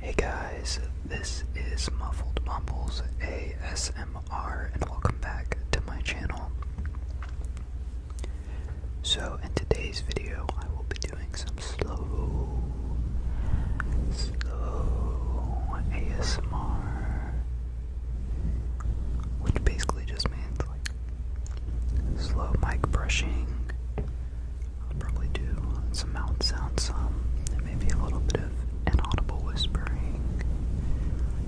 Hey guys, this is Muffled Mumbles ASMR and welcome back to my channel. So in today's video I will be doing some slow, slow ASMR, which basically just means like slow mic brushing, I'll probably do some mouth sounds, some, maybe a little bit of inaudible whispering,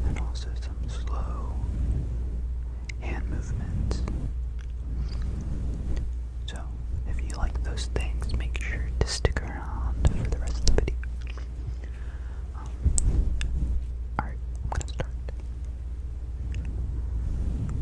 and also some slow hand movements. So, if you like those things, make sure to stick around for the rest of the video. Um, Alright, I'm gonna start.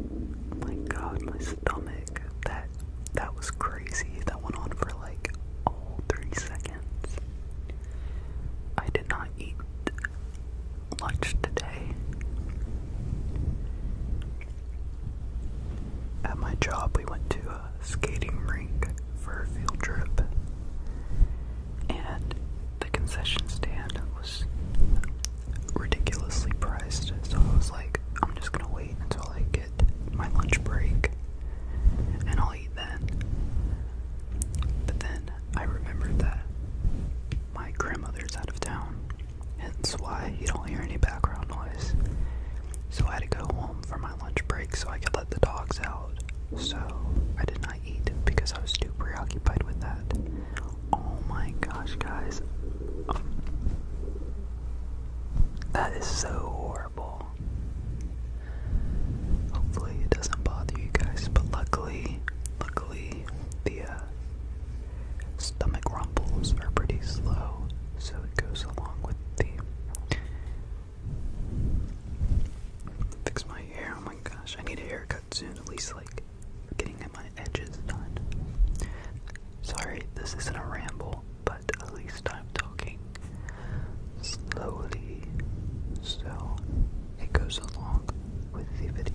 Oh my god, my stomach. That that was crazy. That went on for like all three seconds. I did not eat lunch today. At my job, we went to a skating rink for a field trip, and the concession stand was ridiculously priced. So I was like, I'm just gonna wait until I get my lunch break and I'll eat that. But then I remembered that my grandmother's out of town, hence why you don't hear any background noise. So I had to go home for my lunch break so I could let the dogs out. So I did not eat because I was too preoccupied with that. Oh my gosh, guys. Um, that is so horrible. Hopefully it doesn't bother you guys, but luckily, luckily the uh, stomach rumbles are pretty slow, so it goes along with the. Fix my hair. Oh my gosh, I need a haircut soon. At least like getting my edges done. Sorry, this isn't a ramble but at least I'm talking slowly so it goes along with the video.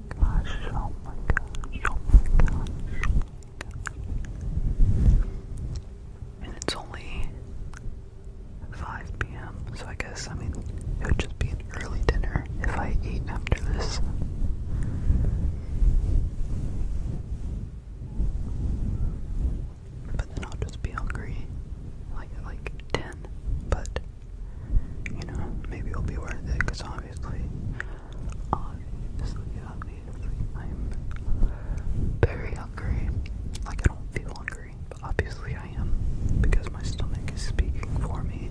Oh gosh, oh my God! oh my gosh, And it's only 5 p.m., so I guess, I mean, it would just be an early dinner if I ate after this. But then I'll just be hungry, like, like 10, but you know, maybe it'll be worth it, because obviously, obviously, I'm very hungry. Like, I don't feel hungry, but obviously I am, because my stomach is speaking for me.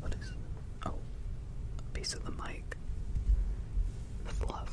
What is oh a piece of the mic? The fluff.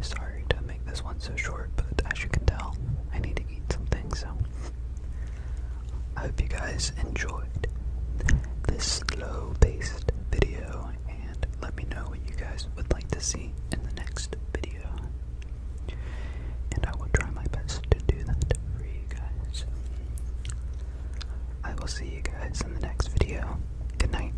Sorry to make this one so short, but as you can tell, I need to eat something, so I hope you guys enjoyed this slow paced video and let me know what you guys would like to see in the next video. And I will try my best to do that for you guys. I will see you guys in the next video. Good night.